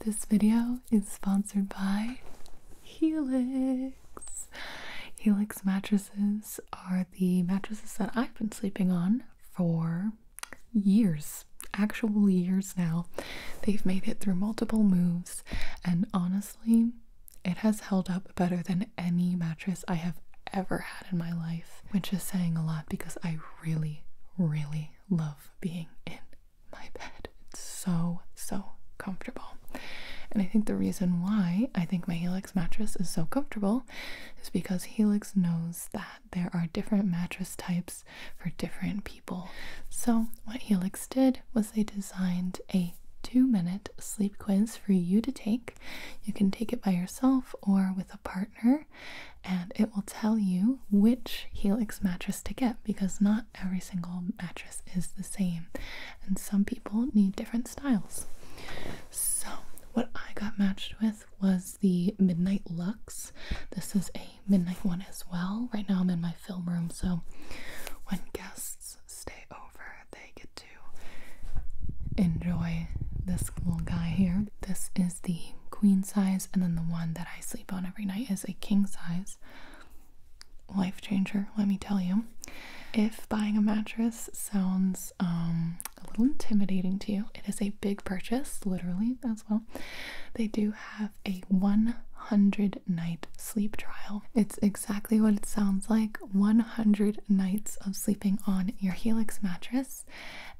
This video is sponsored by Helix. Helix mattresses are the mattresses that I've been sleeping on for years, actual years now. They've made it through multiple moves, and honestly, it has held up better than any mattress I have ever had in my life, which is saying a lot because I really, really love being in my bed. It's so, so comfortable. And I think the reason why I think my Helix mattress is so comfortable is because Helix knows that there are different mattress types for different people. So, what Helix did was they designed a two minute sleep quiz for you to take. You can take it by yourself or with a partner, and it will tell you which Helix mattress to get because not every single mattress is the same and some people need different styles. So, what I got matched with was the Midnight Lux. This is a midnight one as well. Right now I'm in my film room, so when guests stay over, they get to enjoy this little guy here. This is the queen size and then the one that. I sleep on every night is a king size. Life changer, let me tell you. If buying a mattress sounds um, a little intimidating to you, it is a big purchase, literally, as well. They do have a 100 night sleep trial. It's exactly what it sounds like 100 nights of sleeping on your Helix mattress.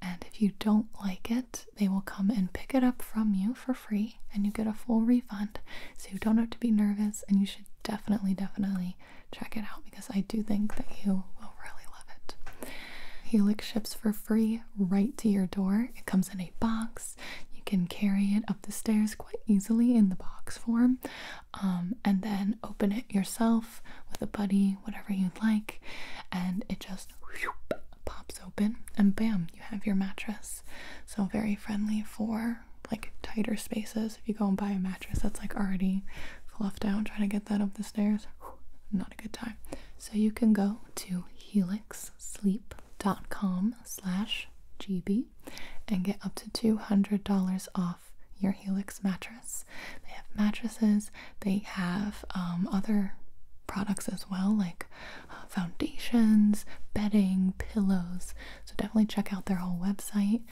And if you don't like it, they will come and pick it up from you for free and you get a full refund. So you don't have to be nervous and you should definitely, definitely check it out because I do think that you will really love it. Helix ships for free right to your door. It comes in a box. You can carry it up the stairs quite easily in the box form um, and then open it yourself with a buddy, whatever you'd like. And it just pops open and bam, you have your mattress. So, very friendly for like tighter spaces. If you go and buy a mattress that's like already fluffed out, try to get that up the stairs, not a good time. So, you can go to helixsleep.com slash GB and get up to $200 off your Helix mattress. They have mattresses, they have um, other products as well, like foundations, bedding, pillows. So definitely check out their whole website.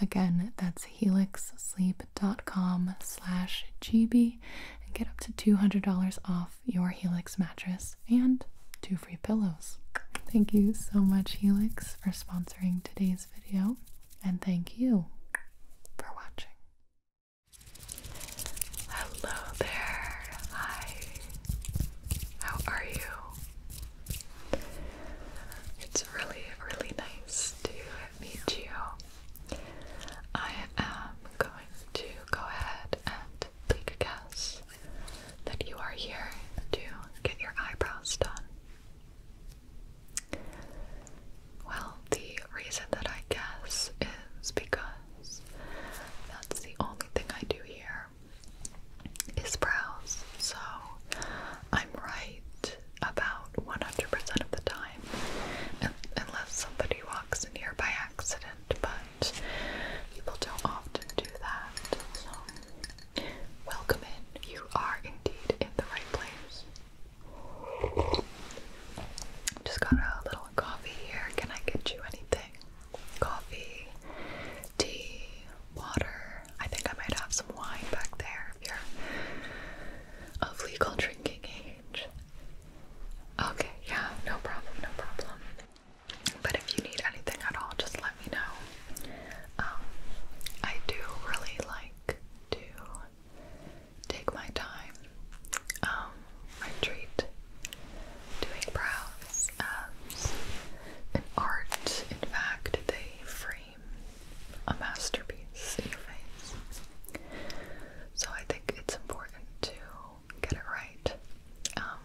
Again, that's helixsleep.com slash gb and get up to $200 off your Helix mattress and two free pillows. Thank you so much Helix for sponsoring today's video and thank you for watching. Hello there. Hi. How are you? It's really, really nice to meet you. I am going to go ahead and take a guess that you are here to get your eyebrows done. Well, the reason that I guess is because that's the only thing I do here is browse, So I'm right about 100% of the time, unless somebody walks in here by accident, but people don't often do that. So, welcome in. You are indeed in the right place. Just got a little coffee here. Can I get you anything? Coffee, tea, water. I think I might have some wine back there if of legal drinking age. Okay, yeah, no problem, no problem. But if you need anything at all, just let me know. Um, I do really like to take my time, um, I treat doing brows as an art. In fact, they frame a masterpiece in your face. So I think it's important to get it right. Um,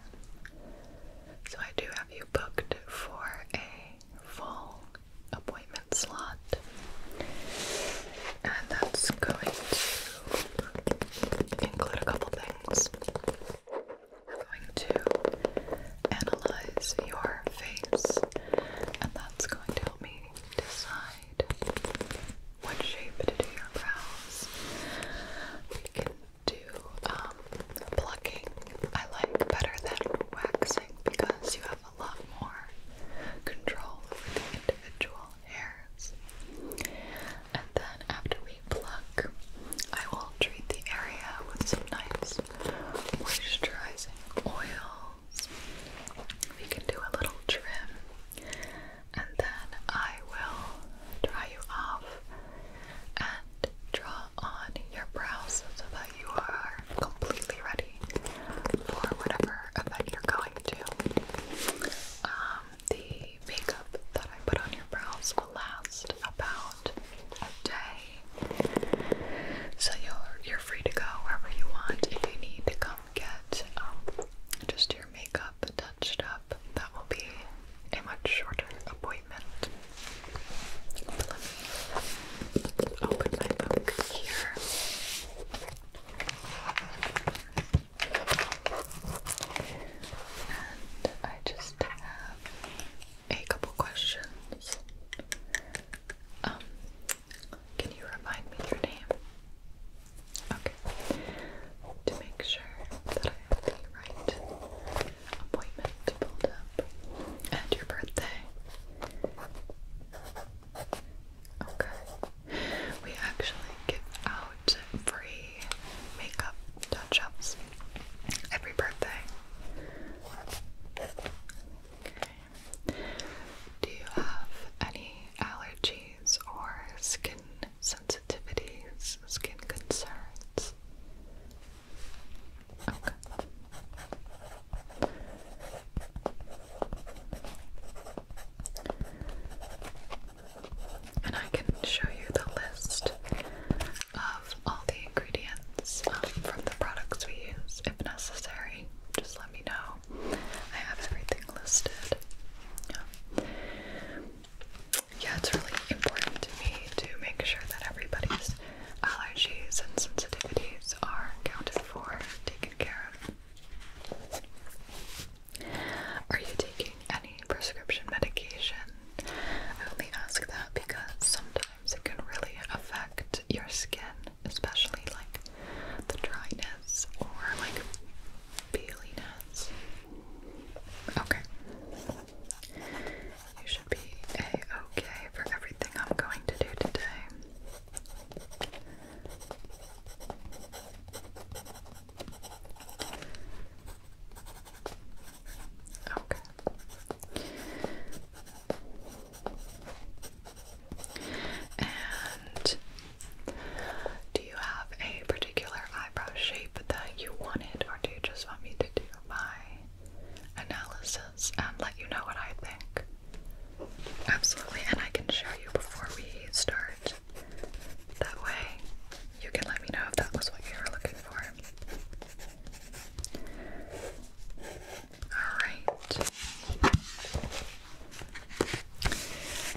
so I do have you booked for a full appointment slot, and that's going to include a couple things. We're going to analyze your face, and that's going to help me decide what shape to do your brows. We can do um, plucking, I like better than waxing because you have a lot more control over the individual and then after we pluck, I will treat the area with some nice moisturizing oils. We can do a little trim, and then I will dry you off and draw on your brows so that you are completely ready for whatever event you're going to. Um, the makeup that I put on your brows will last about a day. So you're you're free to go wherever you want. If you need to come get um, just your makeup touched up, that will be a much shorter appointment. But let me my book here. And I just have a couple questions. Um, can you remind me your name? Okay. To make sure that I have the right appointment pulled up. And your birthday. Okay. We actually give out free makeup touch ups every birthday. Do you have any allergies or skin sensitivities, skin concerns? Okay and I can show you the list of all the ingredients um, from the products we use if necessary. Just let me know. I have everything listed. Yeah. yeah, it's really important to me to make sure that everybody's allergies and sensitivities are accounted for, taken care of. Are you taking any prescription medication? I only ask that because sometimes it can really affect your skin, especially like the dryness or like peeliness. Okay. You should be a-okay for everything I'm going to do today. Okay. And do you have a particular eyebrow shape that you wanted, or do you just want me to do my analysis and let you know what I think? Absolutely, and I can show you before we start that way, you can let me know if that was what you were looking for. Alright.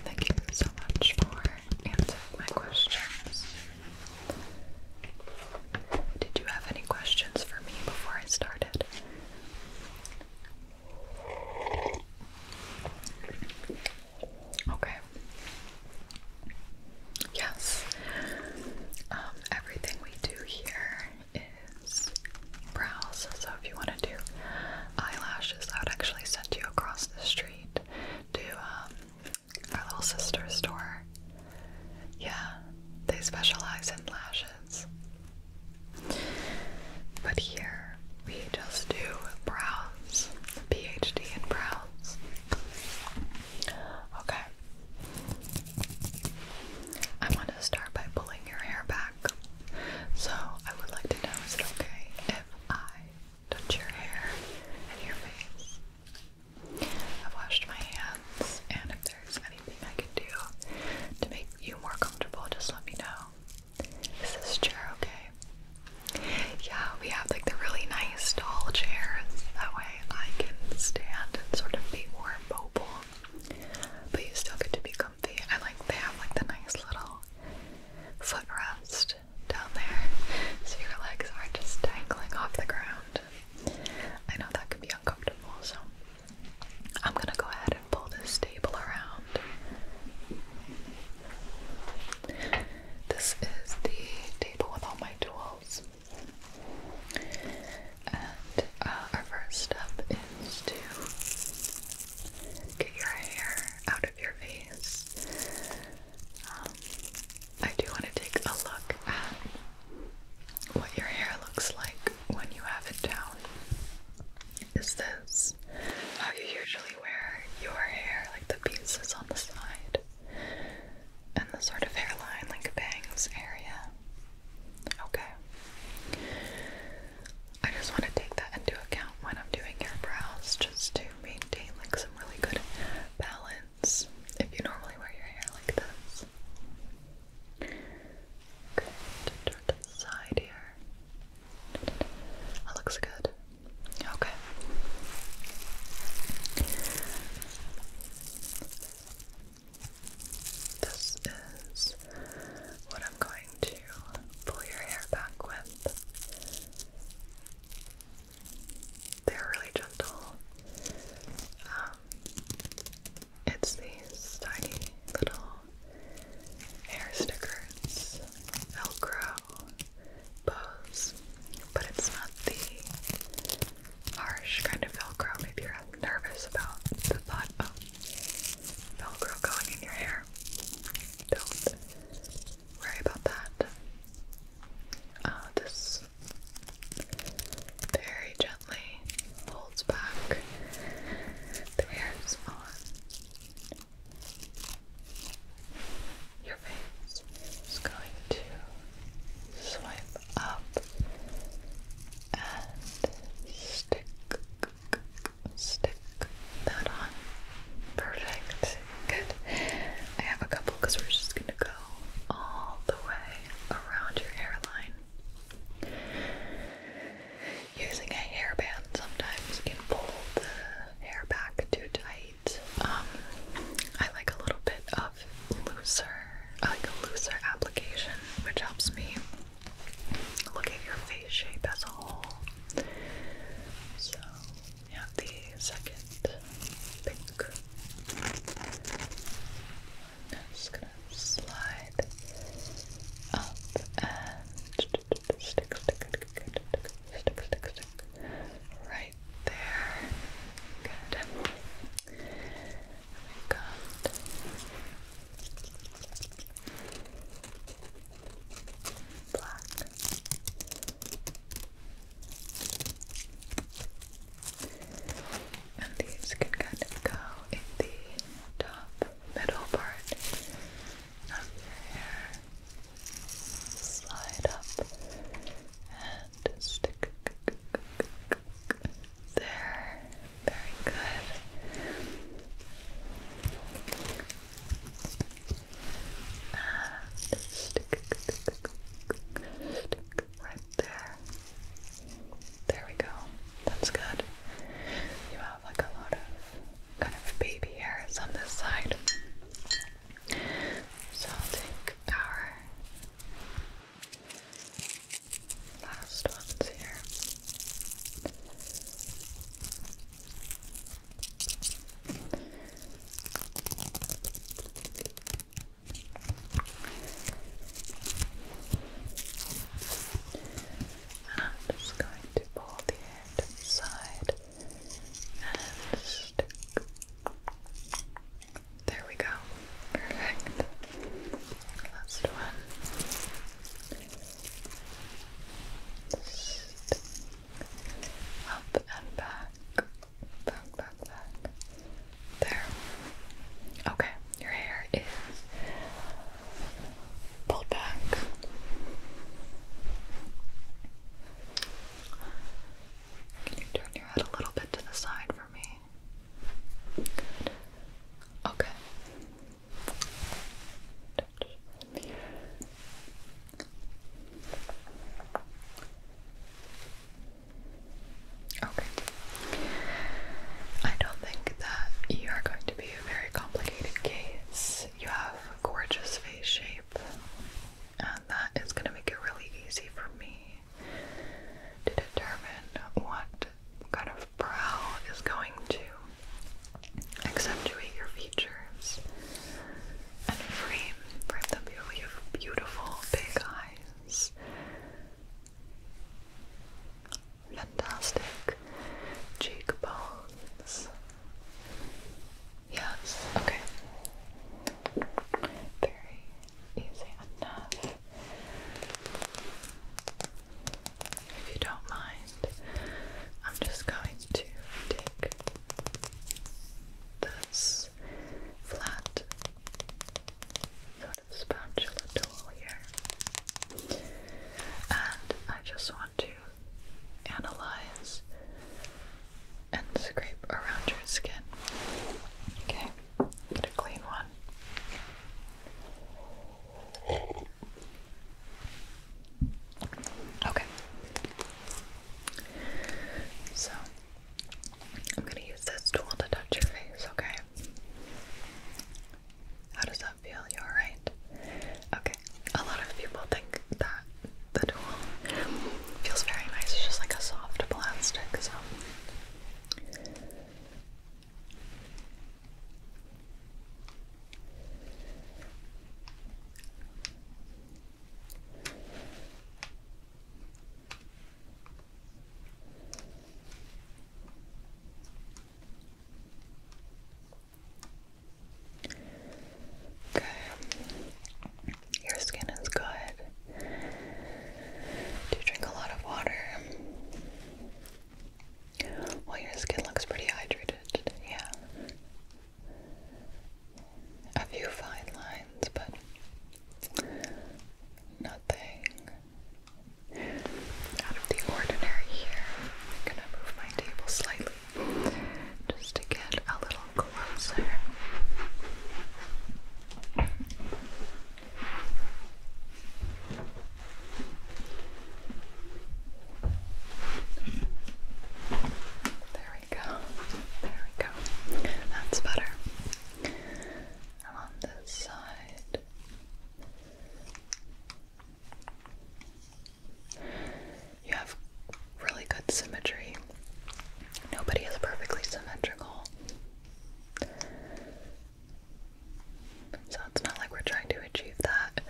Thank you so much for answering my questions. Did you have any questions for me before I started? Okay. Yes. Um, everything we do here is brows. So if you want to do eyelashes, I would actually send you across the street to um, our little sister store. Yeah, they specialize in lashes. But here we just do brows, PhD in brows. Okay. I want to start by pulling your hair back. So I would like to know is it okay if I touch your hair and your face? I've washed my hands, and if there's anything I can do to make you more comfortable, just let me know. Is this chair okay? Yeah, we have like the really nice tall chairs. That way I can stand and sort of be more mobile. But you still get to be comfy. I like they have like the nice little footrest down there. So your legs aren't just dangling off the ground. I know that could be uncomfortable, so I'm gonna go ahead and pull this table around. This is the table with all my tools. And uh, our first step is to get your hair out of your face. Um, I do want to take a look at what your hair looks like when you have it down is this. How oh, you usually wear your hair, like the pieces on the side, and the sort of hairline, like bangs area. Okay. I just want to take that into account when I'm doing your brows, just to maintain like some really good balance. If you normally wear your hair like this. Okay, to the side here. That looks good. Okay. This is what I'm going to pull your hair back with. They're really gentle. Um, it's these tiny little hair stickers, Velcro, bows, but it's not the harsh kind of Velcro. Maybe you're nervous about the thought of Velcro going in your hair. Don't worry about that. Uh, this very gently holds back the hairs on your face is going to swipe up and stick, stick that on. Perfect. Good. I have a couple because we're just going to go all the way around your hairline using a hairband sometimes can pull the hair back too tight. Um, I like a little bit of looser, like a looser application, which helps me look at your face shape as a whole. So, we the second pink. I'm just gonna slide up and stick, stick, stick, stick, stick, stick, right there. Good. we black. And these can kind of go in the top middle part of slide up and stick there. Very good. stick, stick right there. There we go. That's good. You have like a lot of kind of baby hairs on this side. So I'll take our last ones here. I'm just going to pull the side and There we go. Perfect. Last one. Up and back. Back, back, back. There. Okay, your hair is pull back. Can you turn your head a little bit to the side for me? Okay. Okay. I don't think that you are going to be a very complicated case. You have gorgeous face shape, and that is going to make it really easy for me to determine what kind of brow is going to accentuate your features and frame frame them beautifully. You have beautiful big eyes. Fantastic neck, cheekbones. Yes, okay. Very easy enough. If you don't mind, I'm just going to take this flat sort of spatula tool here, and I just want to analyze and scrape around your skin. Okay, get a clean one. Okay. So, I'm going to use this tool to touch your face, okay? How does that feel you are alright? Okay, a lot of people think that the tool feels very nice, it's just like a soft plastic, so. Okay. Your skin is good. Do you drink a lot of water? Well, your skin looks pretty hydrated, yeah. A few fine lines, but nothing out of the ordinary here. I'm gonna move my table slightly just to get a little closer. There we go. There we go. That's better. on this side. You have really good symmetry. Nobody is perfectly symmetrical. So it's not like we're trying to achieve that.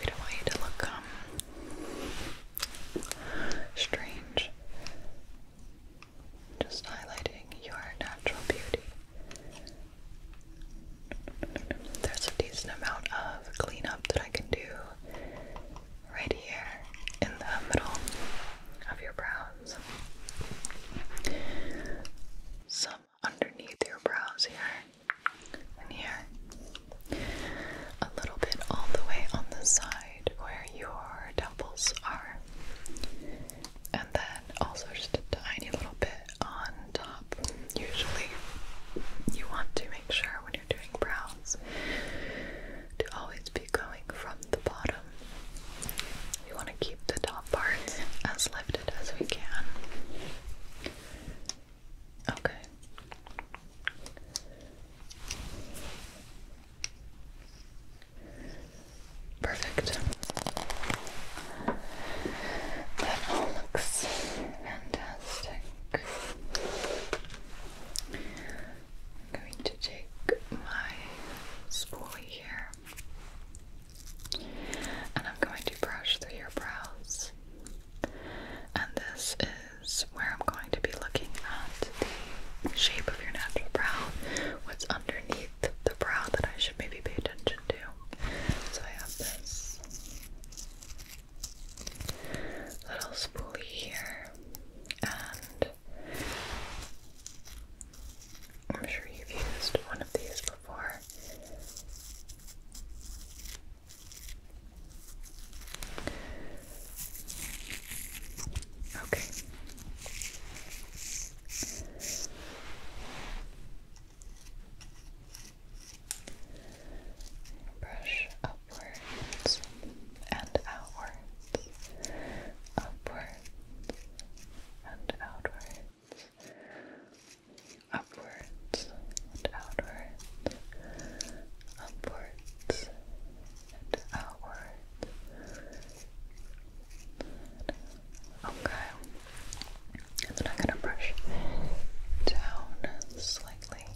We don't want you to look um, strange. Just highlighting your natural beauty. There's a decent amount of cleanup that I can do right here in the middle of your brows. Some underneath your brows here and here. A little bit all the way on the side where your temples are. And then also just a tiny little bit on top. Usually, you want to make sure when you're doing brows to always be going from the bottom. You want to keep the top parts as lifted as we can. Okay. Perfect. That all looks fantastic. I'm going to take my spoolie here and I'm going to brush through your brows. And this is where I'm going to be looking at the shape of your natural brow, what's underneath the brow that I should maybe pay attention to. So I have this little spoolie here, and I'm sure you've used one of these before. Okay. Brush upwards and outwards, upwards and outwards, upwards and outwards, upwards and outwards. Okay. And then I'm gonna brush down slightly.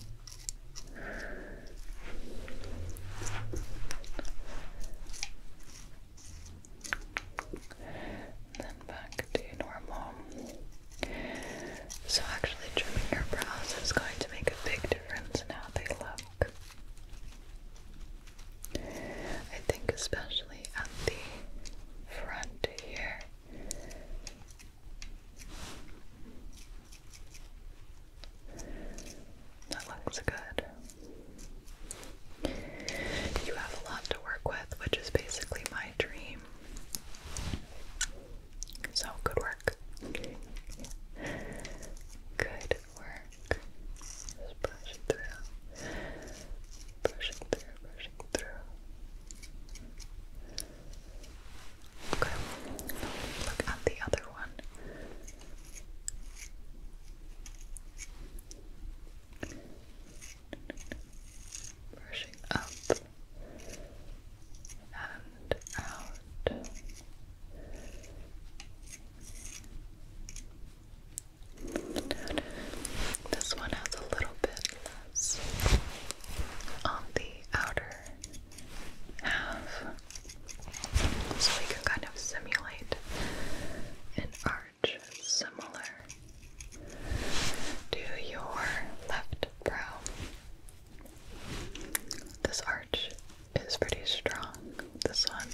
then back to normal. So actually trimming your brows is going to make a big difference in how they look. I think especially at the front here. That looks good. You have a lot to work with, which is basically my dream. So, good work. Good work. Just through. Brush through, brush through. Okay, look at the other one. Brushing up and out. This one has a little bit on the outer half. So we can kind of simulate an arch similar to your left brow. This arch is pretty strong. This one,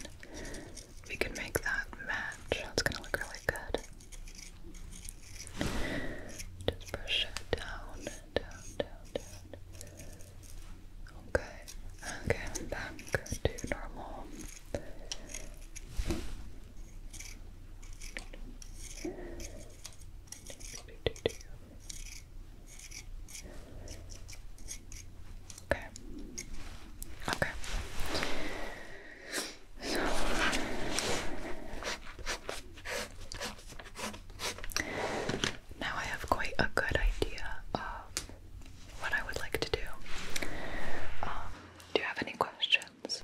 we can make that match. That's gonna look really good. Just brush it down, down, down, down. Okay, okay, back to normal. Okay. Okay now I have quite a good idea of what I would like to do. Um, do you have any questions?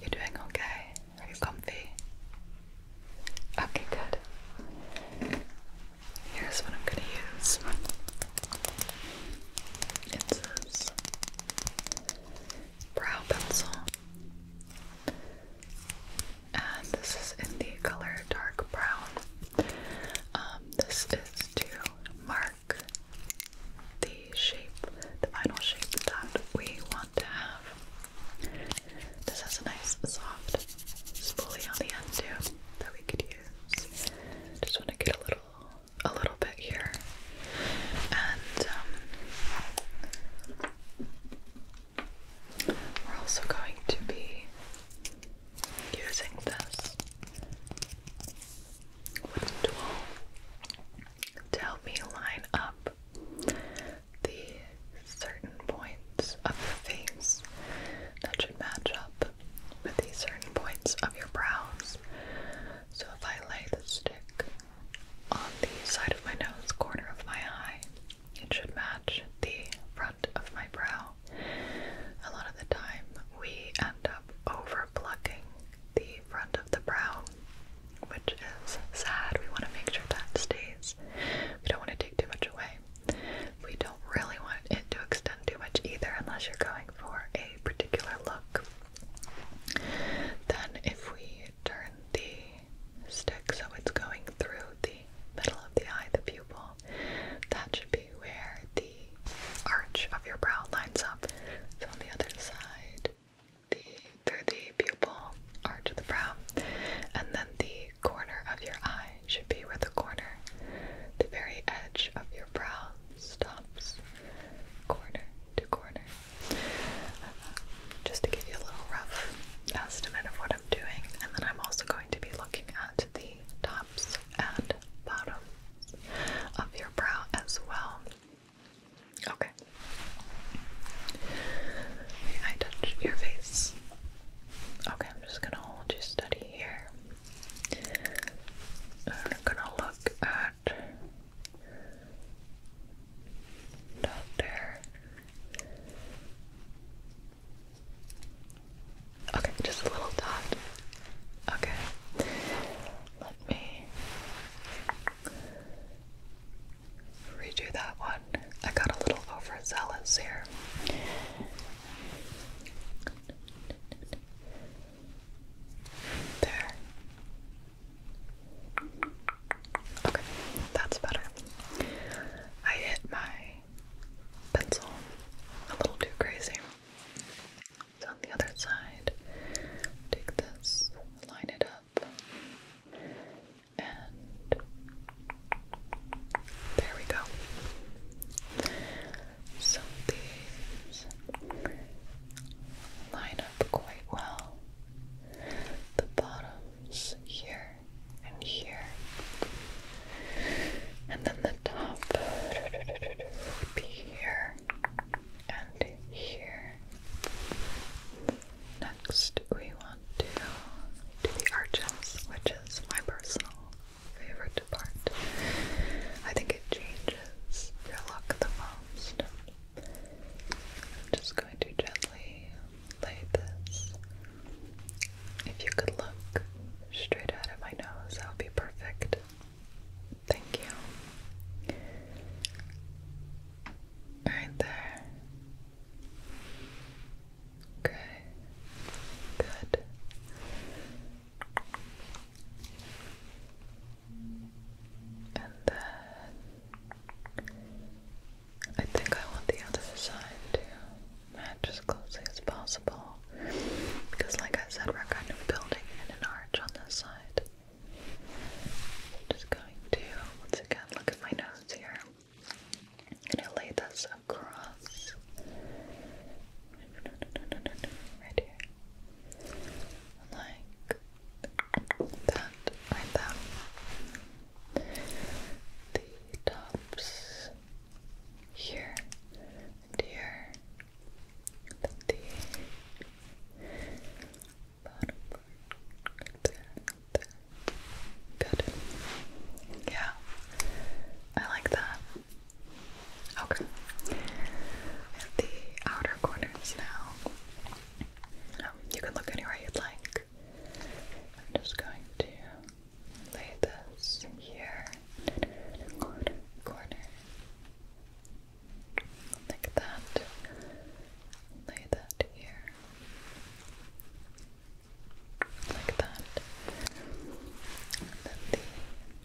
You're doing okay? Are you comfy? Okay, good. Here's what I'm gonna use. It's this brow pencil. And this is in the color dark brown. Um, this is to mark the shape, the final shape that we want to have. This has a nice soft spoolie on the end too that we could use. Just want to get a little, a little here, and um, we're also going to be using this tool to help me line up the certain points of the face that should match up with the certain points of your brows. So if I lay the stick on the side of my nose, corner of my eye. It should match the front of my brow. A lot of the time, we end up over plucking the front of the brow, which is sad. We want to make sure that stays. We don't want to take too much away. We don't really want it to extend too much either, unless you're going for a particular look. Then, if we turn the stick so it's going through the middle of the eye, the pupil. That should be where the arch of your brow lines up. So on the other side, the through the pupil, arch of the brow, and then the corner of your eye should be where the corner, the very edge of your brow stops corner to corner, just to give you a little rough estimate of what I'm doing. And then I'm also going to be looking at the tops and bottoms of your brow as well. Okay. I touch your face? Okay, I'm just gonna hold you steady here. And I'm gonna look at Doctor. Okay, just a little dot. Okay. Let me redo that one. I got a little overzealous here. There. Okay, that's better. I hit my pencil a little too crazy. So on the other side, take this, line it up, and there we go. So these line up quite well the bottoms here and here, and then the top would be here and here. Next, we want to do the arches, which is my personal favorite part. I think it changes your look the most. I'm just going to gently lay this. If you could look straight out of my nose, that would be perfect. Thank you. Right there. Okay. Good. And then I think I want the other side to match as closely as possible. Because like I said, we're kind of building in an arch on this side. just going to once again look at my nose here. i lay this across right here. Like that, like that. The tops here here. Then the bottom part Good. Yeah. I like that. Okay. the outer corners now you can look anywhere you'd like. I'm just going to lay this here corner. Like that. Lay that here. Like that. And then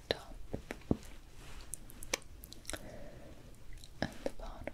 the top and the bottom.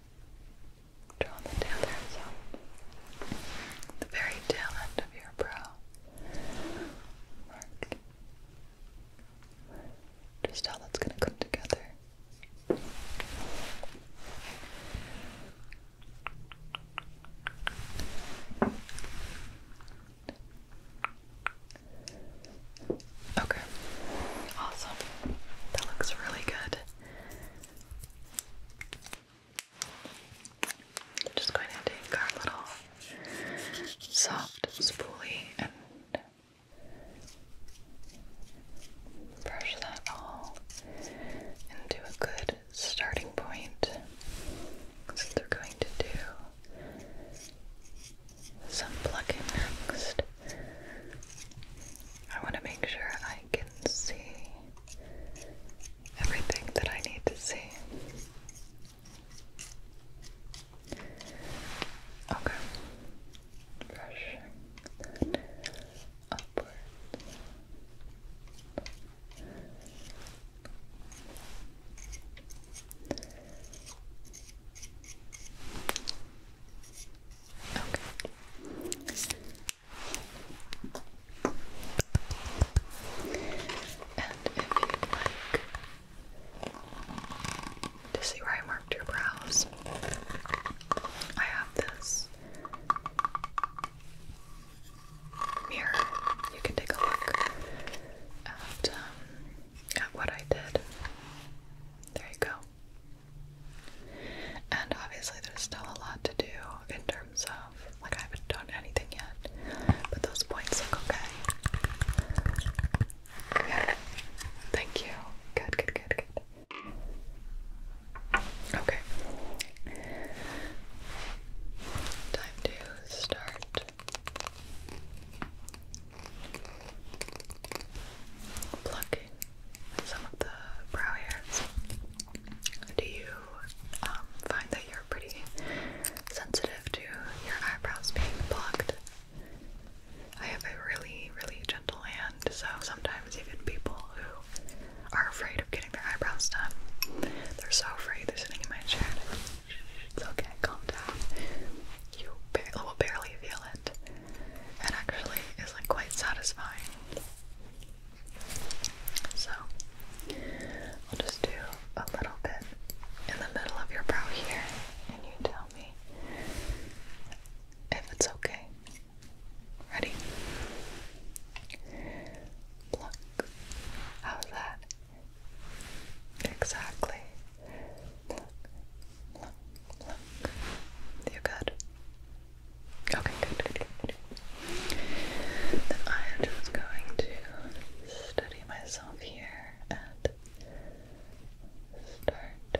Draw the tail The very tail end of your brow. Mark. Just how that's going to come together. Okay. Awesome. That looks really good. I'm just going to take our little soft spoolie and brush that all into a good starting point. So they're going to do some plucking next. I want to make sure I can see everything that I need to see. Okay. Brushing that Okay to see where I marked your brows, I have this mirror. You can take a look at, um, at what I did. There you go. And obviously, there's still a lot to do in terms of like I haven't done anything yet, but those points look okay. Yeah. Thank you. Good, good, good, good. Okay. Time to start plucking some of the brow hairs. Do you um, find that you're pretty sensitive to your eyebrows being plucked? I have a really, really gentle hand, so sometimes even people who are afraid of getting their eyebrows done, they're so afraid, they're sitting in my chair. It's okay, calm down. You bar will barely feel it. It actually is like quite satisfying. So I'll just do a little bit in the middle of your brow here, and you tell me if it's okay. Ready? Pluck. How's that? Exactly. Pluck, pluck, good? Okay, good, good, good, Then I am just going to study myself here and start.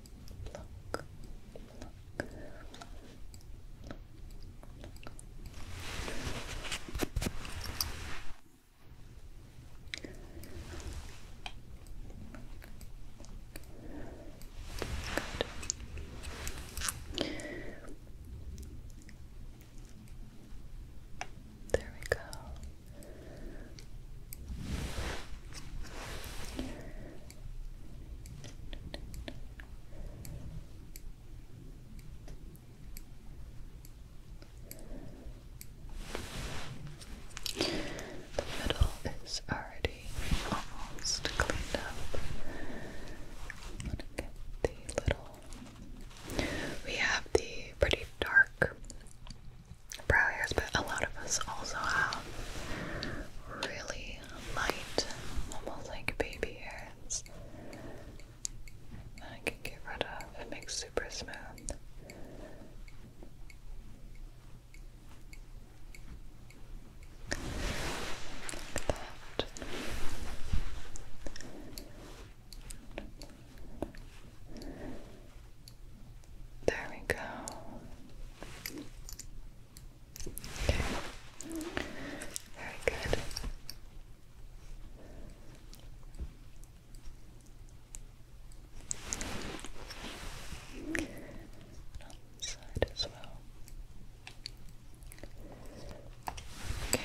pluck, pluck. There we go. The middle is already almost cleaned up. We have the pretty dark brow hairs, but a lot of us also have really light, almost like baby hairs I can get rid of. It makes super smooth. Like that. There we go. Very good. On this side as well. Okay.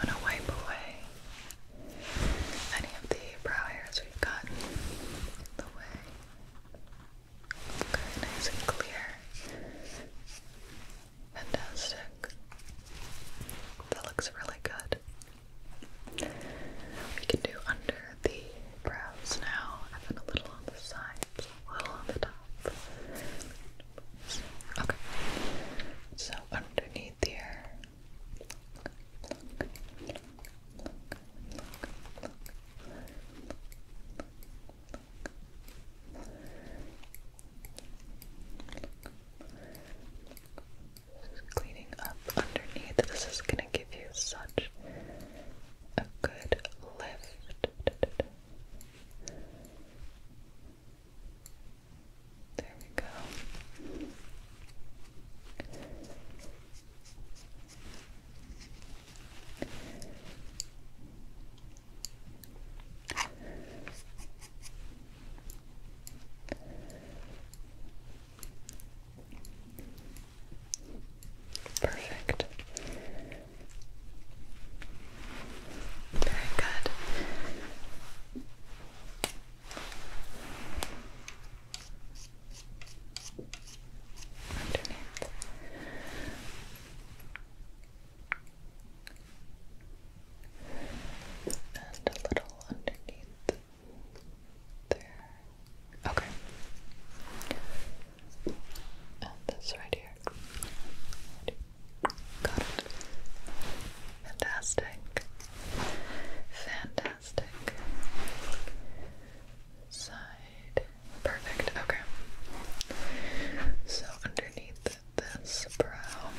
I'm going to wipe away any of the brow hairs we've gotten the way. Okay, nice and clear. Fantastic. That looks really good. We can do under the brows now, a little on the sides, a little on the top. Okay. So underneath here, cleaning up underneath. This is going to give you such a good lift. There we go. Perfect. Very good underneath. And a little underneath there. Okay. And this right here. Got it. Fantastic. Fantastic. Side. Perfect. Okay. So underneath this brow,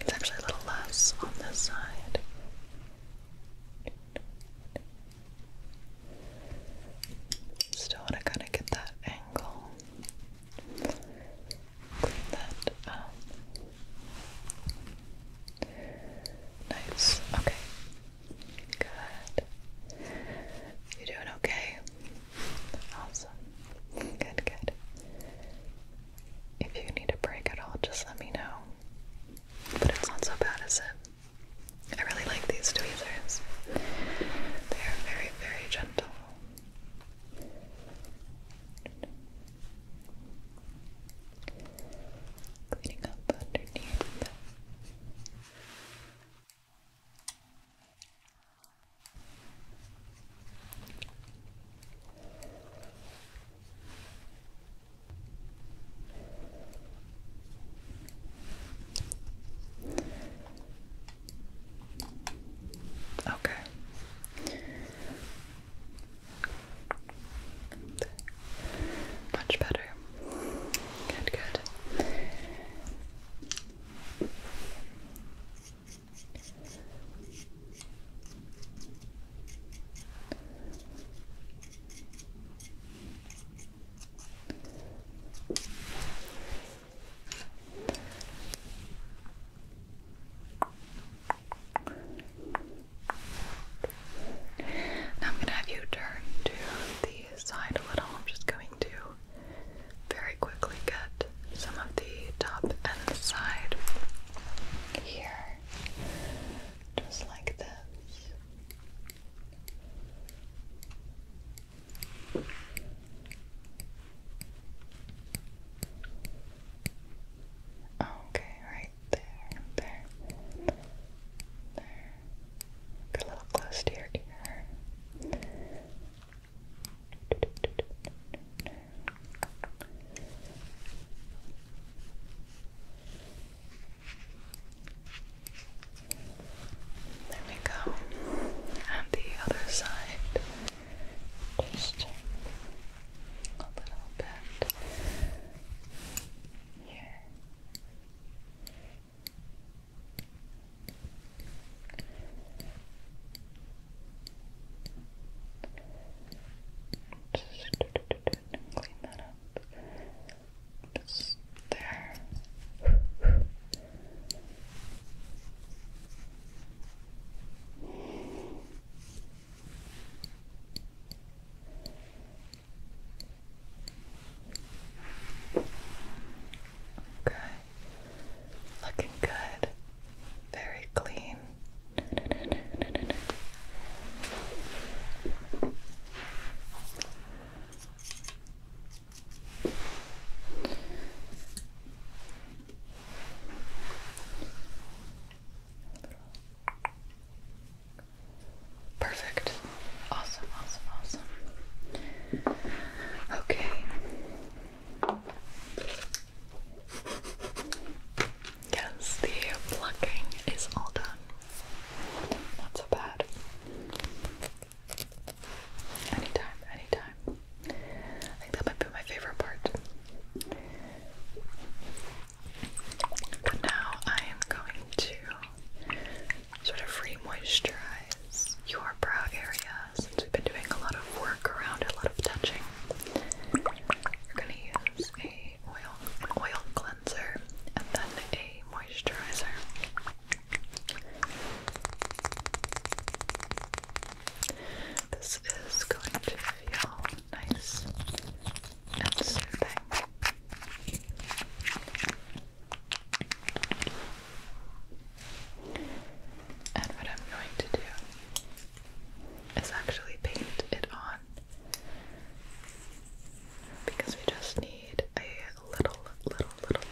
it's actually a little less on this side. Still want to kind of get that angle that up. Um, nice. Okay. Good. You doing okay? Awesome. Good, good. If you need a break at all, just let me know. But it's not so bad, is it? I really like these tweezers. They are very, very gentle. Cleaning up underneath. Okay. Much better. Good, good. Now I'm going to have you turn to the side a little. I'm just going to very quickly get some of the top and side here, just like this. Okay, right there, there, there. Get a little close to your ear. There we go. And the other side. Just a little bit here. clean that up. Just there. Okay. Looking good. Very clean. Perfect. Awesome, awesome, awesome. Okay. Yes, the plucking is all done. Not so bad. Anytime, anytime. I think that might be my favorite part. now I am going to sort of re moisturize your brow area since we've been doing a lot of work around a lot of touching. We're going to use a oil, oil cleanser and then a moisturizer. This is going to feel nice and soothing. And what I'm going to do is actually paint it on because we just need a little, little, little,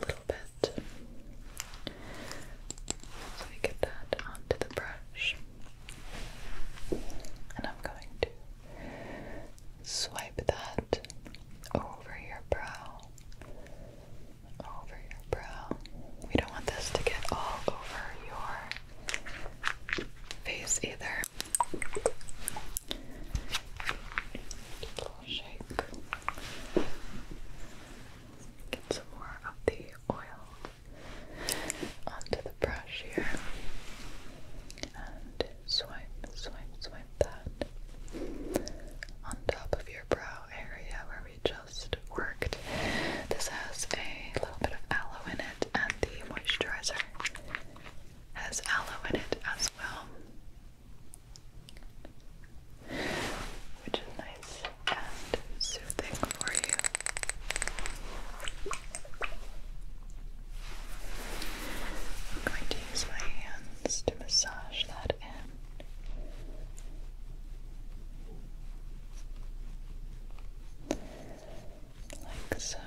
little bit so we get that onto the brush. And I'm going to swipe that over your brow. Over your brow. We don't want this to get all over your face either. little shake. Get some more of the oil onto the brush here. And swipe, swipe, swipe that on top of your brow area where we just worked. This has a little bit of aloe in it, and the moisturizer has aloe in it as well which is nice and soothing for you. I'm going to use my hands to massage that in. Like so.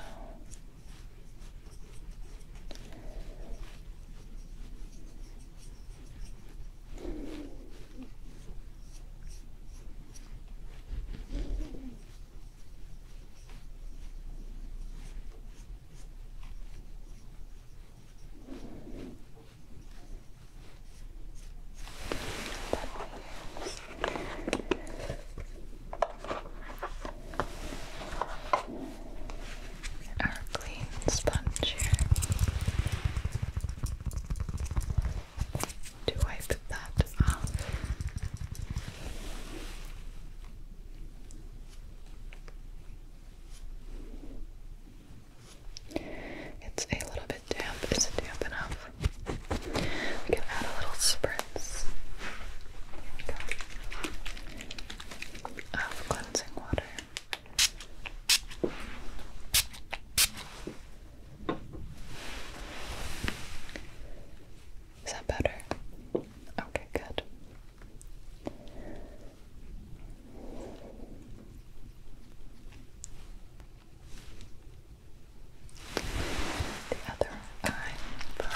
Our clean sponge here. Do I put that up? It's a little bit damp. Is it damp enough? We can add a little spritz of cleansing water. Is that better? Okay, good. The other eyebrow.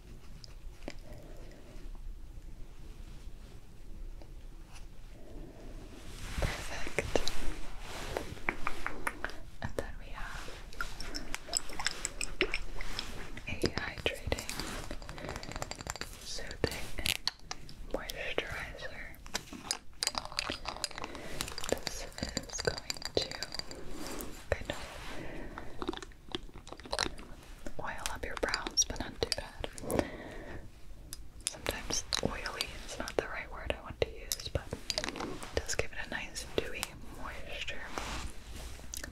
Perfect. And then we have a hydrating, soothing moisturizer. This is going to kind of oil up your brows, but not too bad. Sometimes oily is not the right word I want to use, but does give it a nice dewy moisture.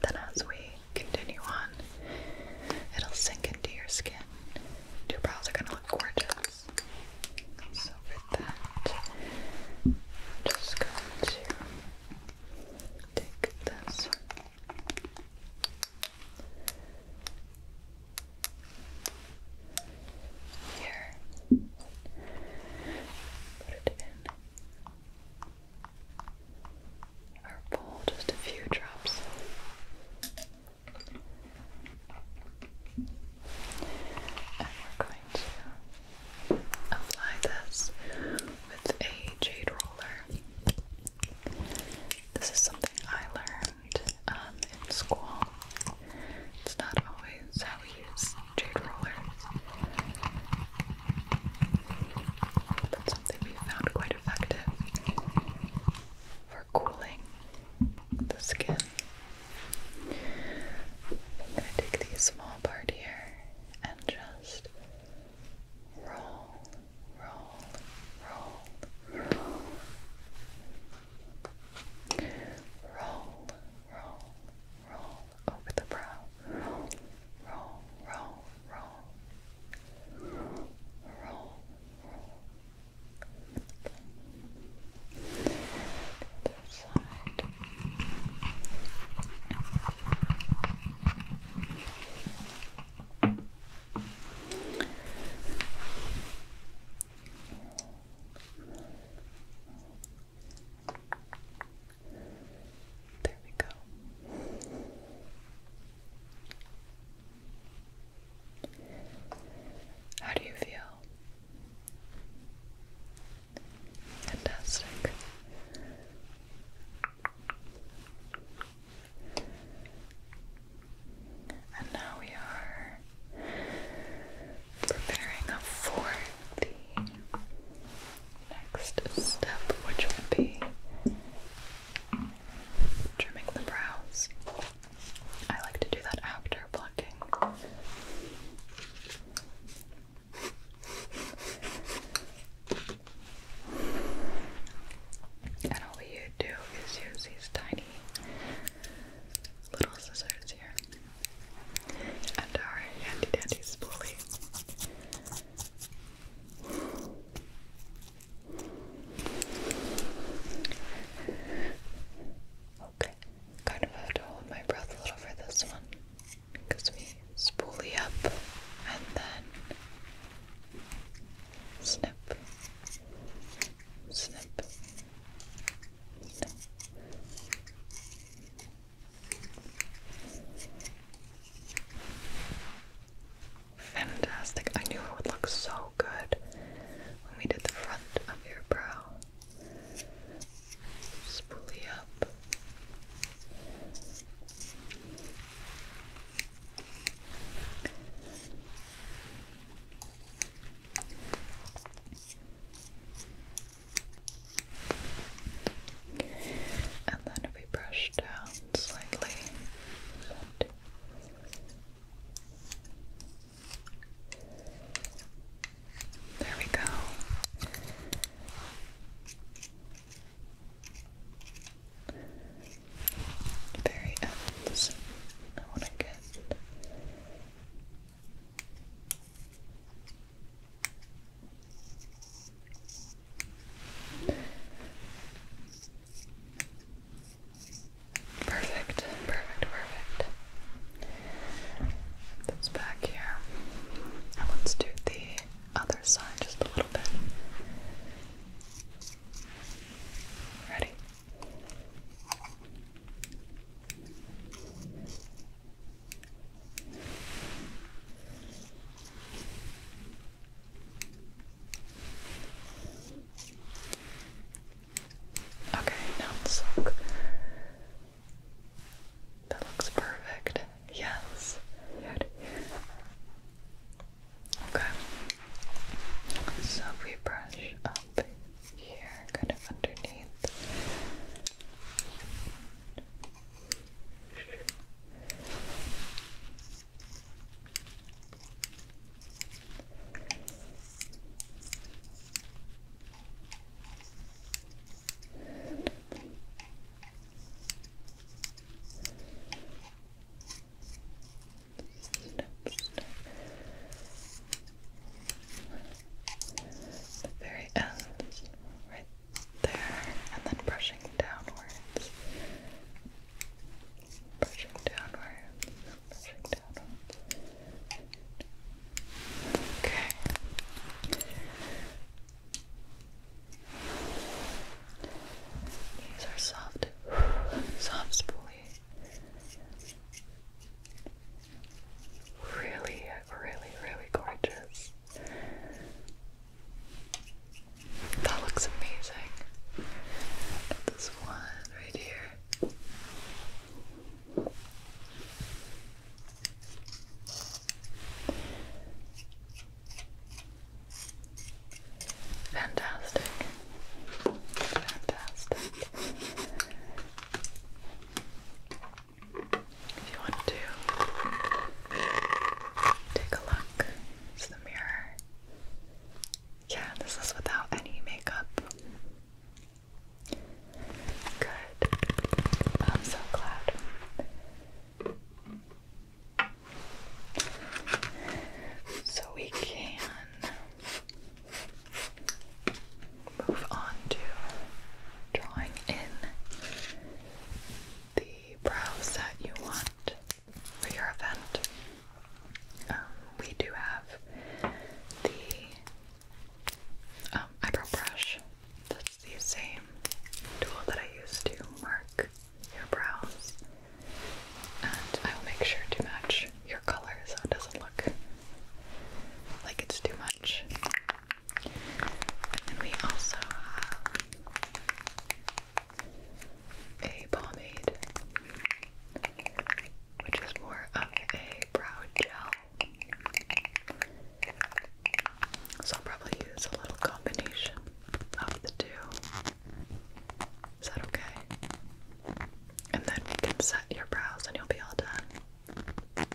Then as we continue on, it'll sink into your skin. Your brows are gonna look gorgeous. So with that, just going to take this here, put it in our bowl, just a few drops. And we're going to apply this with a jade roller. This is something I learned um, in school. It's not always how we use jade rollers, but something we found quite effective for cooling the skin. I'm going to take the small part here and just roll, roll, roll, roll, roll, roll, roll over the brow, roll, roll, roll, roll, roll, roll. Side. Good. There we go. How do you feel? Fantastic. And now we are preparing for the next step, which will be trimming the brows. I like to do that after plucking. And all you do is use these tiny little scissors here and our handy dandy spoolie. Okay, kind of have to hold my breath a little for this one because we spoolie up and then snip, snip, snip. Fantastic. I knew it would look so good when we did the front of your brow. Spoolie up. And then we brush down slightly, there we go very ends. I want to get perfect, perfect, perfect. That's back here. Now let's do the other side just a little bit. Ready? Okay, now let's That looks perfect. Yes. Good. Okay. So we brush up here, kind of underneath. The very end, right there, and then brushing downwards. Brushing downwards, brushing downwards. Okay. These are soft, soft spoolie. Really, really, really gorgeous. That looks amazing. this one right here. Fantastic. Fantastic. If you want to take a look, it's the mirror. Yeah, this is without any makeup. Good. I'm so glad. So we can move on to drawing in the brows that you want for your event. Um, we do have the um, eyebrow brush. That's the same tool that I use to mark your brows, and I will make sure to match your color so it doesn't look like it's too much. And we also have a pomade, which is more of a brow gel. So I'll probably use a little combination of the two. Is that okay? And then we can set your brows and you'll be all done.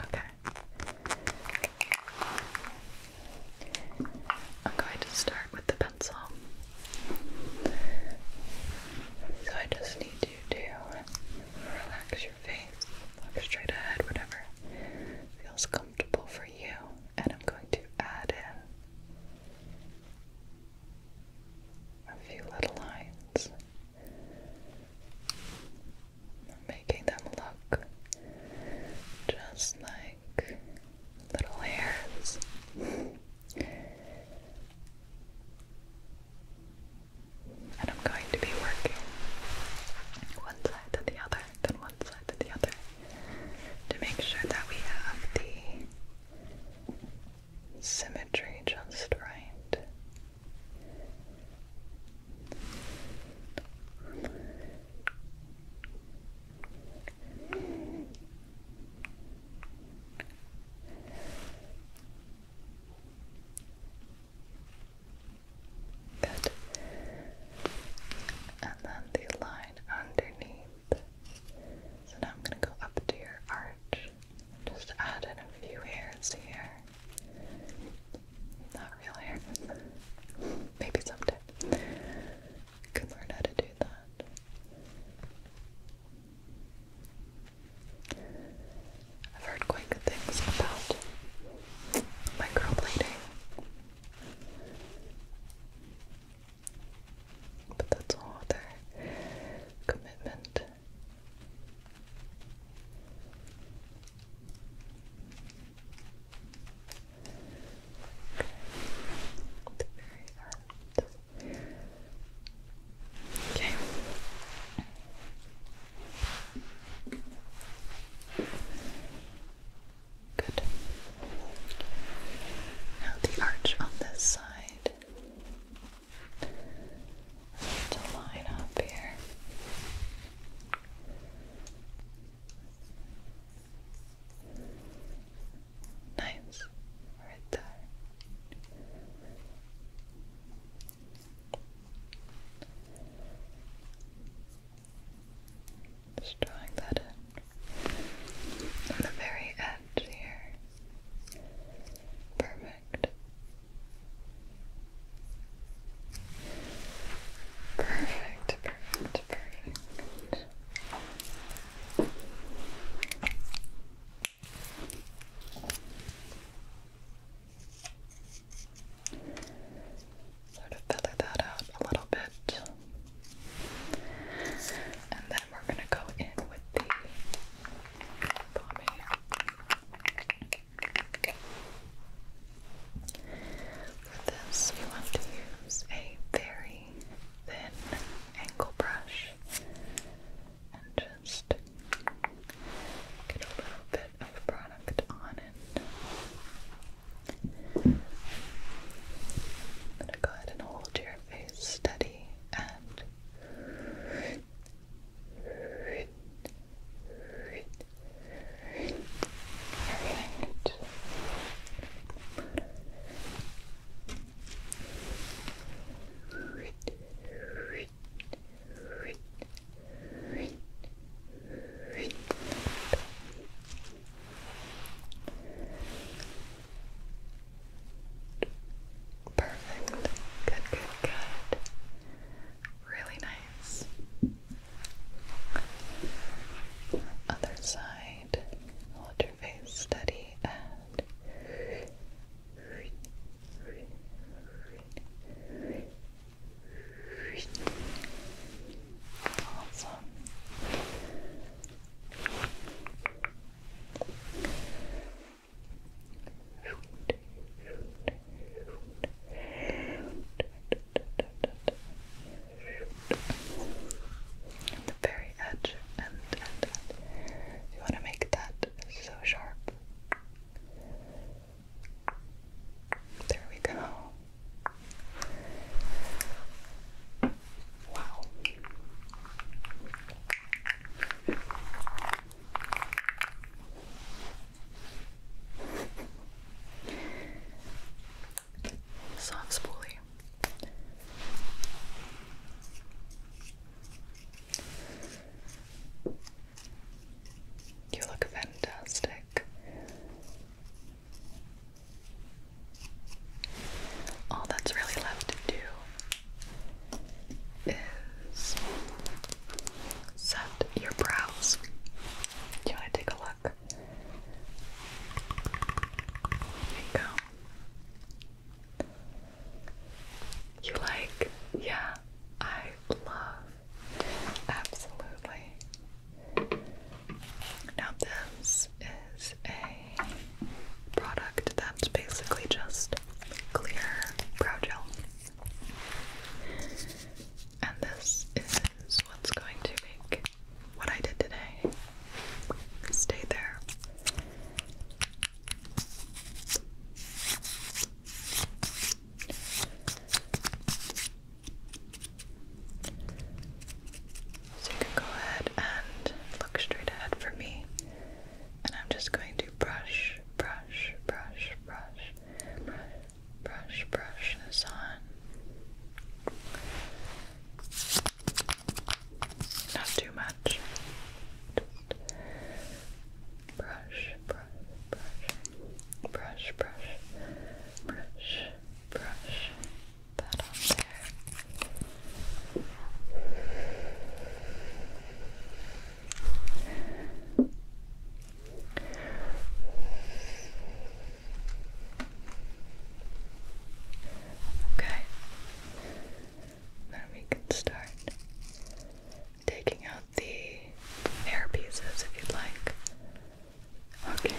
Okay. I'm going to start with the pencil. So I just need you to relax your face, look straight ahead, whatever feels comfortable for you and I'm going to add in a few little lines, making them look just like little hairs. And I'm going to be working one side to the other than one side to the other to make sure that we have the symmetry just right. Good. And then the line underneath. So now I'm going to go up to your arch. Just add a few hairs here. Not real hair. Maybe someday. I could learn how to do that. I've heard quite good things about microblading. But that's a whole commitment. Okay. Good. Now the arch on this side to line up here. Nice. Right there. Just drawing that in on the very edge here. Perfect. Perfect, perfect, perfect sort of feather that out a little bit. And then we're going to go in with the pomade. For this, you want to use a very thin angle brush and just get a little bit of product on I'm gonna go ahead and hold your face steady and Perfect. Good, good, good. Really nice. Other side. Hold your face steady Awesome. the very edge, and you want to make that so sharp. There we go. Wow. Soft spoolie. You look fantastic. All that's really left to do is set your brows. Do you want to take a look? There you go. You like? Yeah, I love. Absolutely. Now this is a product that's basically just clear brow gel. And this is what's going to make what I did today stay there. So you can go ahead and look straight ahead for me. And I'm just going to brush, brush, brush, brush, brush, brush, brush this on. Not too much. Just brush, brush, brush, brush, brush, brush, brush that on there. Okay. Then we can start taking out the hair pieces if you'd like. Okay.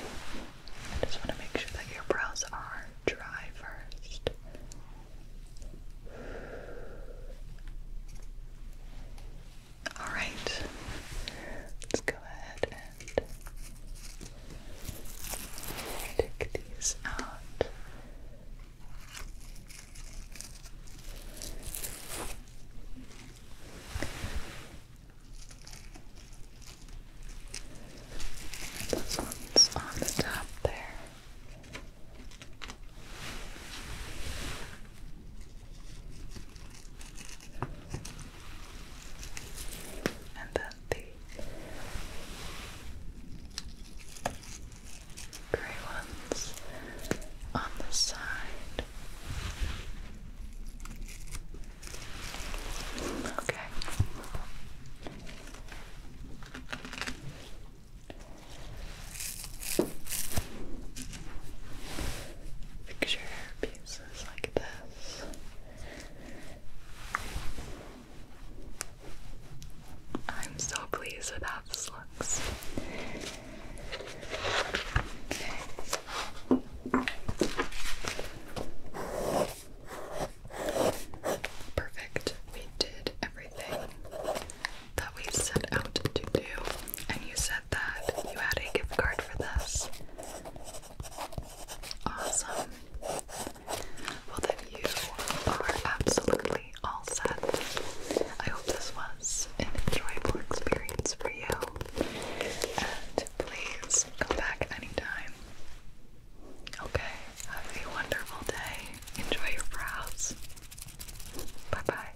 I just want to make sure that your brows are dry first. Alright. Let's go ahead and take these out. And one's on the top there. And then the gray ones on the side. Okay. Picture pieces like this. I'm so pleased with how this looks. Perfect. We did everything that we set out to do, and you said that you had a gift card for this. Awesome. Well, then you are absolutely all set. I hope this was an enjoyable experience for you. And please come back anytime. Okay, have a wonderful day. Enjoy your brows. Bye bye.